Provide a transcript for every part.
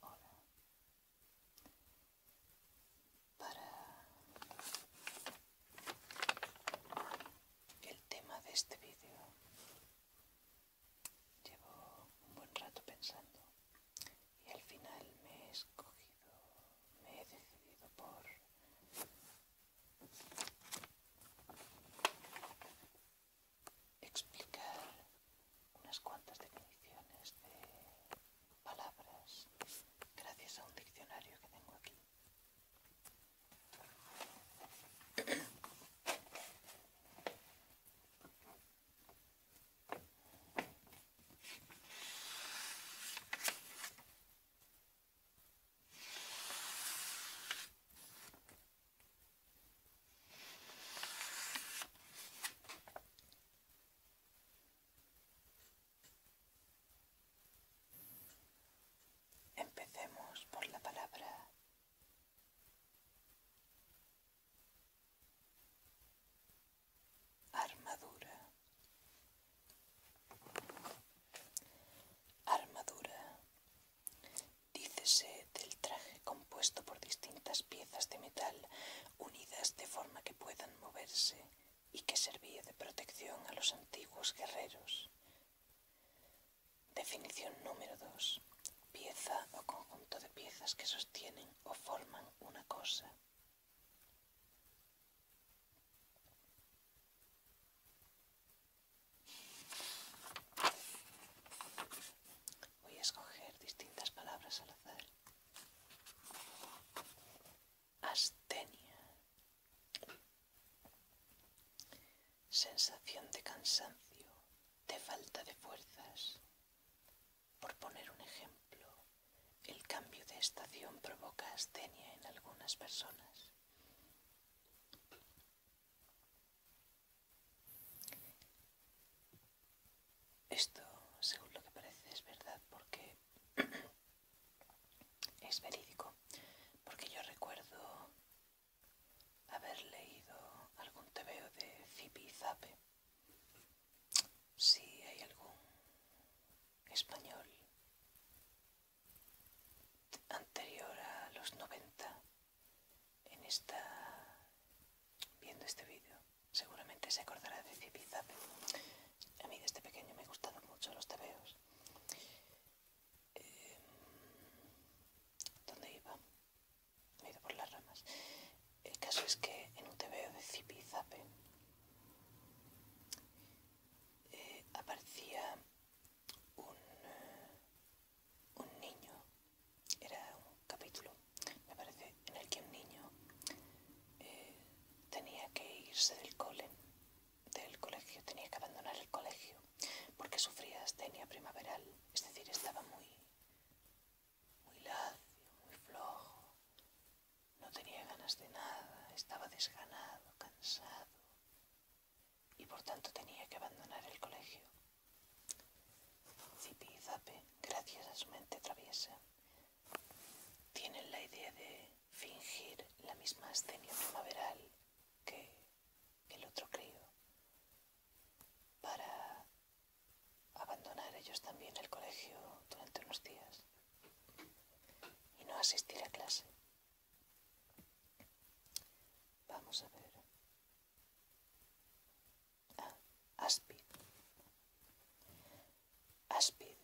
Hola. Para el tema de este vídeo llevo un buen rato pensando y al final me he escogido, me he decidido por explicar unas cuantas definiciones de palabras gracias a un diccionario que tengo aquí. Empecemos por la palabra armadura. Armadura Dícese del traje compuesto por distintas piezas de metal unidas de forma que puedan moverse y que servía de protección a los antiguos guerreros. Definición número 2. Pieza o conjunto de piezas que sostienen o forman una cosa. Voy a escoger distintas palabras al azar. Astenia. Sensación de cansancio, de falta de fuerzas. Por poner un ejemplo, el cambio de estación provoca astenia en algunas personas. Esto, según lo que parece, es verdad porque es verídico, porque yo recuerdo haber leído algún tebeo de Zipi Zape. Si hay algún español anterior a los 90 en esta viendo este vídeo seguramente se acordará de Zipizape. A mí desde este pequeño me gustado mucho los tebeos. Em, ¿Dónde iba? Me he ido por las ramas. El caso es que en un tebeo de Zipizape eh, aparecía un, eh, un niño, era un capítulo, me parece, en el que un niño eh, tenía que irse del cole, del colegio, tenía que abandonar el colegio porque sufría astenia primaveral, es decir, estaba muy, muy lacio, muy flojo, no tenía ganas de nada, estaba desganado, cansado y por tanto tenía que abandonar el colegio. Zipi y Zape, gracias a su mente traviesa, tienen la idea de fingir la misma escena primaveral que el otro crío para abandonar ellos también el colegio durante unos días y no asistir a clase. Vamos a ver. Aspid. Aspid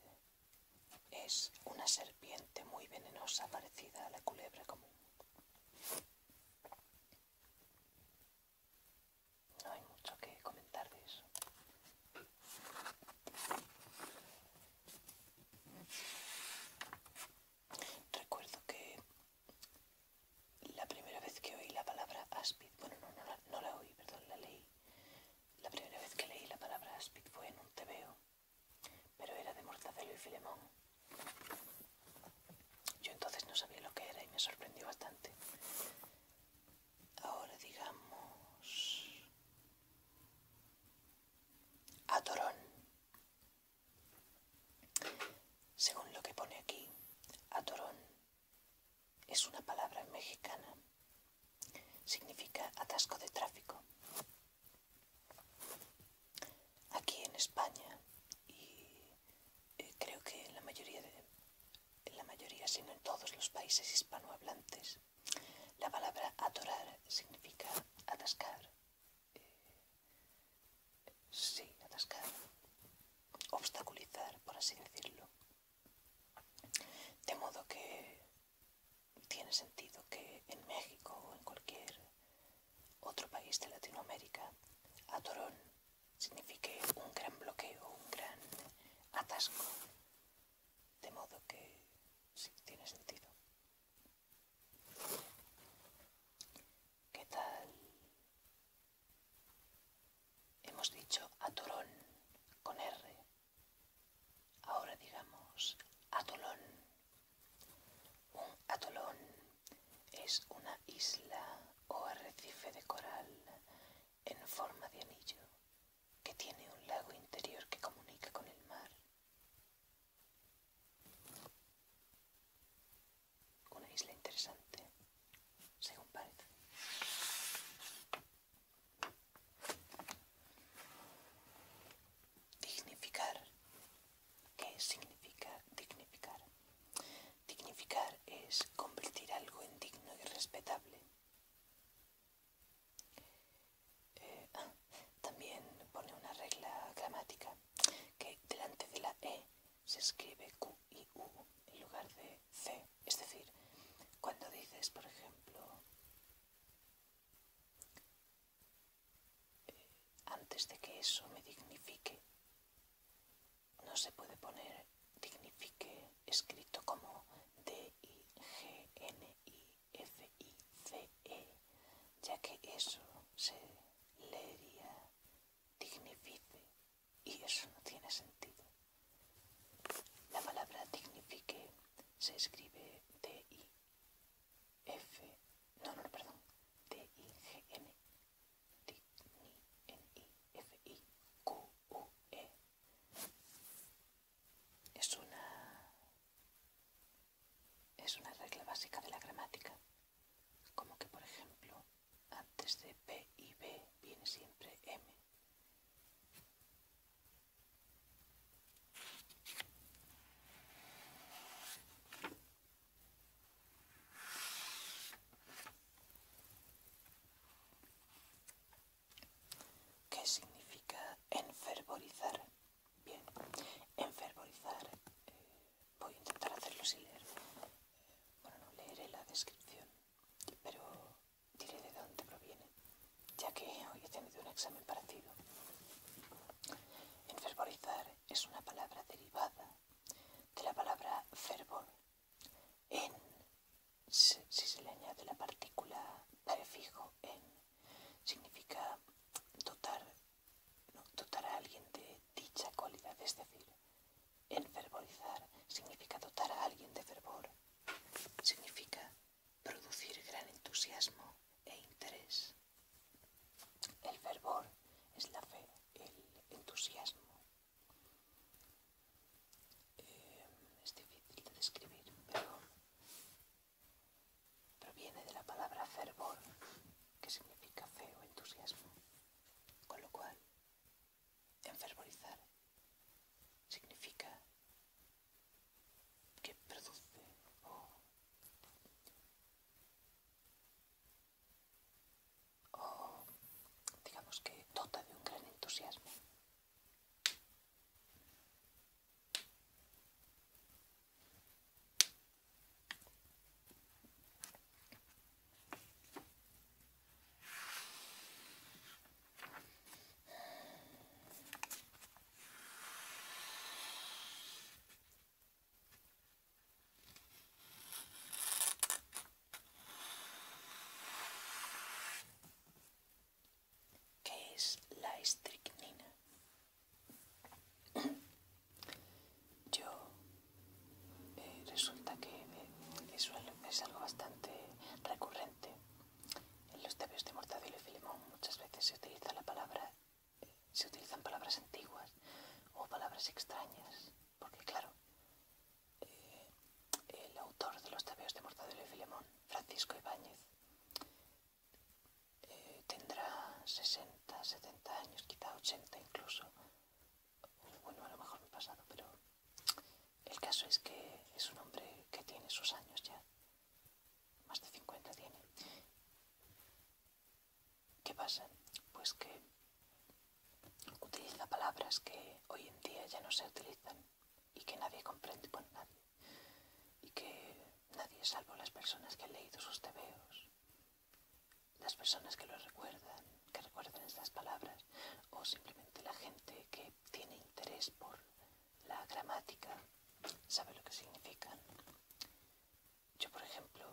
es una serpiente muy venenosa parecida a la culebra común. No hay mucho que comentar de eso. Recuerdo que la primera vez que oí la palabra aspid bueno, no, la, oí, perdón, la leí. La primera vez que leí la palabra aspid fue en un tebeo, pero era de Mortadelo y Filemón. Yo entonces no sabía lo que era y me sorprendió bastante. Ahora digamos... Atorón. Según lo que pone aquí, atorón es una palabra mexicana. Significa atasco de tráfico. Aquí en España y eh, creo que en la mayoría de en la mayoría, sino en todos los países hispanohablantes, la palabra atorar significa atascar, sí, atascar, obstaculizar, por así decirlo. De modo que tiene sentido que en México o en cualquier otro país de Latinoamérica, atorón signifique un gran bloqueo, un gran atasco. De modo que sí, tiene sentido. ¿Qué tal Hemos dicho atolón con R. Ahora digamos atolón. Un atolón es una isla o arrecife de coral en forma de anillo que tiene un lago interior que comunica con el mar. Una isla interesante, según parece. Dignificar. ¿Qué significa dignificar? Dignificar es convertir algo en digno y respetable. Eh, ah, también pone una regla gramática que delante de la E se escribe Q y U en lugar de C. Es decir, cuando dices, por ejemplo, eh, antes de que eso me dignifique, no se puede poner dignifique escrito como D, I, G, N, I, F, I, C, E, ya que eso se leería dignifique y eso no tiene sentido. La palabra dignifique se escribe D-I-F, no, perdón, d i g n i f i q u e Es una, es una regla básica de la gramática, como que por ejemplo antes de P y B viene siempre M. ¿Qué significa enfervorizar? Bien, enfervorizar eh, Voy a intentar hacerlo sin leer. Bueno, no leeré la descripción, pero diré de dónde proviene, ya que hoy he tenido un examen parecido. Enfervorizar es una palabra derivada de la palabra fervor. En, si se le añade la partícula prefijo en, significa dotar no dotar a alguien de dicha cualidad, es decir, enfervorizar significa dotar a alguien de fervor, significa producir gran entusiasmo e interés. El fervor es la fe, el entusiasmo. Eh, es difícil de describir, pero proviene de la palabra fervor, que significa fe o entusiasmo. Con lo cual, enfervorizar significa que produce o, digamos que dota de un gran entusiasmo. ¿Qué es la estricnina? Yo eh, resulta que eso es algo bastante recurrente. En los tabeos de Mortadelo y Filemón muchas veces se utiliza la palabra, eh, se utilizan palabras antiguas o palabras extrañas, porque claro, eh, el autor de los tabeos de Mortadelo y Filemón, Francisco Ibáñez, tendrá 60, 70 años, quizá 80 incluso, bueno, a lo mejor me he pasado, pero el caso es que es un hombre que tiene sus años ya, más de 50 tiene. ¿Qué pasa? Pues que utiliza palabras que hoy en día ya no se utilizan y que nadie comprende, bueno, nadie, y que nadie, salvo las personas que han leído sus tebeos las personas que lo recuerdan, que recuerdan estas palabras, o simplemente la gente que tiene interés por la gramática, sabe lo que significan. Yo, por ejemplo,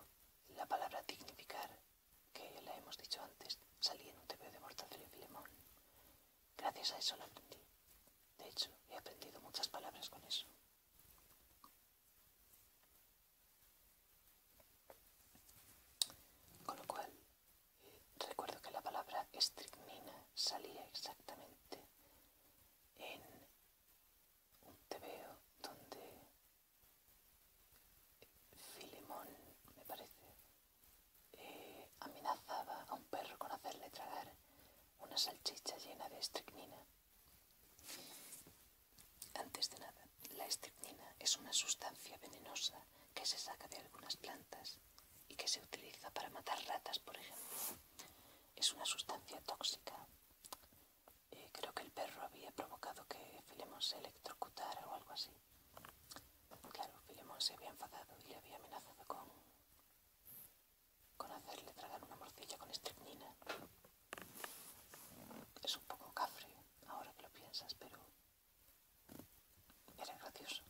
la palabra dignificar, que ya la hemos dicho antes, salí en un TV de mortal y Filemón. Gracias a eso la aprendí. De hecho, he aprendido muchas palabras con eso. Con lo cual, recuerdo que la palabra estricnina salía exactamente en un tebeo donde Filemón, me parece, eh, amenazaba a un perro con hacerle tragar una salchicha llena de estricnina antes de nada, la estripnina es una sustancia venenosa que se saca de algunas plantas y que se utiliza para matar ratas, por ejemplo. Es una sustancia tóxica. Eh, creo que el perro había provocado que Filemón se electrocutara o algo así. Claro, Filemón se había enfadado y le había amenazado con, hacerle tragar una morcilla con estripnina. Es un poco cafre, ahora que lo piensas, pero era gracioso.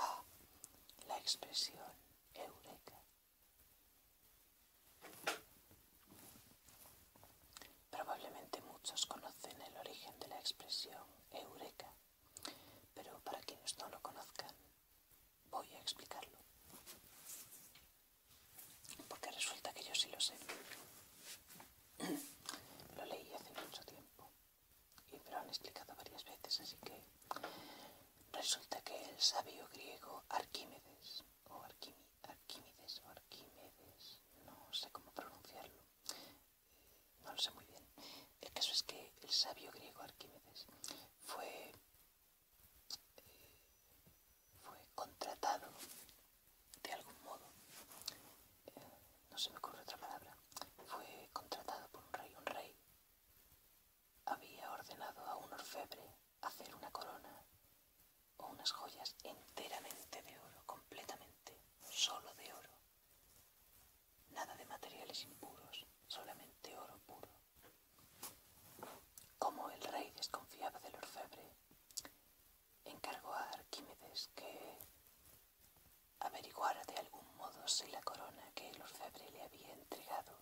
Ah, la expresión eureka. Probablemente muchos conocen el origen de la expresión eureka, pero para quienes no lo conozcan, Voy a explicarlo. Porque resulta que yo sí lo sé. Lo leí hace mucho tiempo. Y me lo han explicado varias veces, así que resulta que el sabio griego Arquímedes, o Arquímedes, o Arquímedes, no sé cómo pronunciarlo, eh, no lo sé muy bien. El caso es que el sabio griego Arquímedes fue fue contratado de algún modo, eh, no se me ocurre otra palabra, fue contratado por un rey, un rey había ordenado a un orfebre hacer una corona o unas joyas enteramente de oro, completamente, solo de oro, nada de materiales impuros, solamente oro puro. Como el rey desconfiaba del orfebre, encargó a Arquímedes que averiguara de algún modo si la corona que el orfebre le había entregado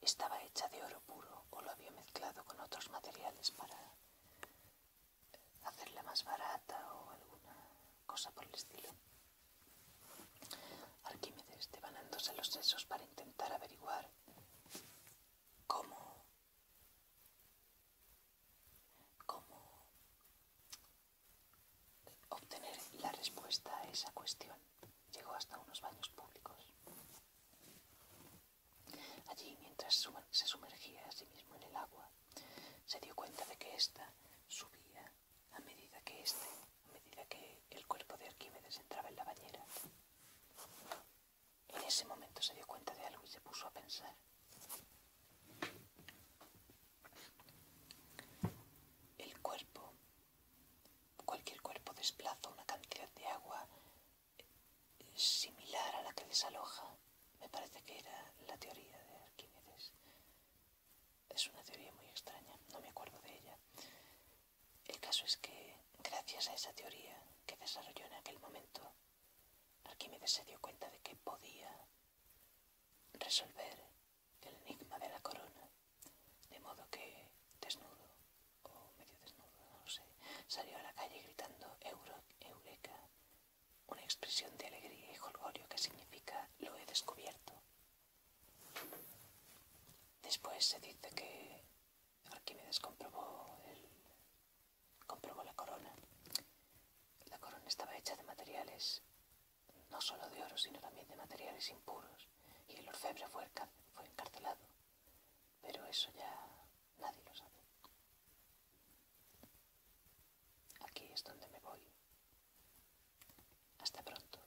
estaba hecha de oro puro o lo había mezclado con otros materiales para hacerla más barata o alguna cosa por el estilo. Arquímedes, devanándose los sesos para intentar averiguar cómo, obtener la respuesta a esa cuestión, llegó hasta unos baños públicos. Allí, mientras se sumergía a sí mismo en el agua, se dio cuenta de que ésta subía a medida que este, a medida que el cuerpo de Arquímedes entraba en la bañera. En ese momento se dio cuenta de algo y se puso a pensar. El cuerpo, cualquier cuerpo desplaza una cantidad de agua eh, similar a la que desaloja. Me parece que era la teoría de Arquímedes. Es una teoría muy extraña, no me acuerdo de ella. El caso es que, gracias a esa teoría que desarrolló en aquel momento, Arquímedes se dio cuenta de que podía resolver el enigma de la corona, de modo que, desnudo o medio desnudo, no sé, salió a la calle gritando Eureka, una expresión de alegría y jolgorio que significa lo he descubierto Después se dice que Arquímedes comprobó, el, comprobó la corona. La corona estaba hecha de materiales, no solo de oro, sino también de materiales impuros, y el orfebre fue, fue encarcelado. Pero eso ya nadie lo sabe. Aquí es donde me voy. Hasta pronto.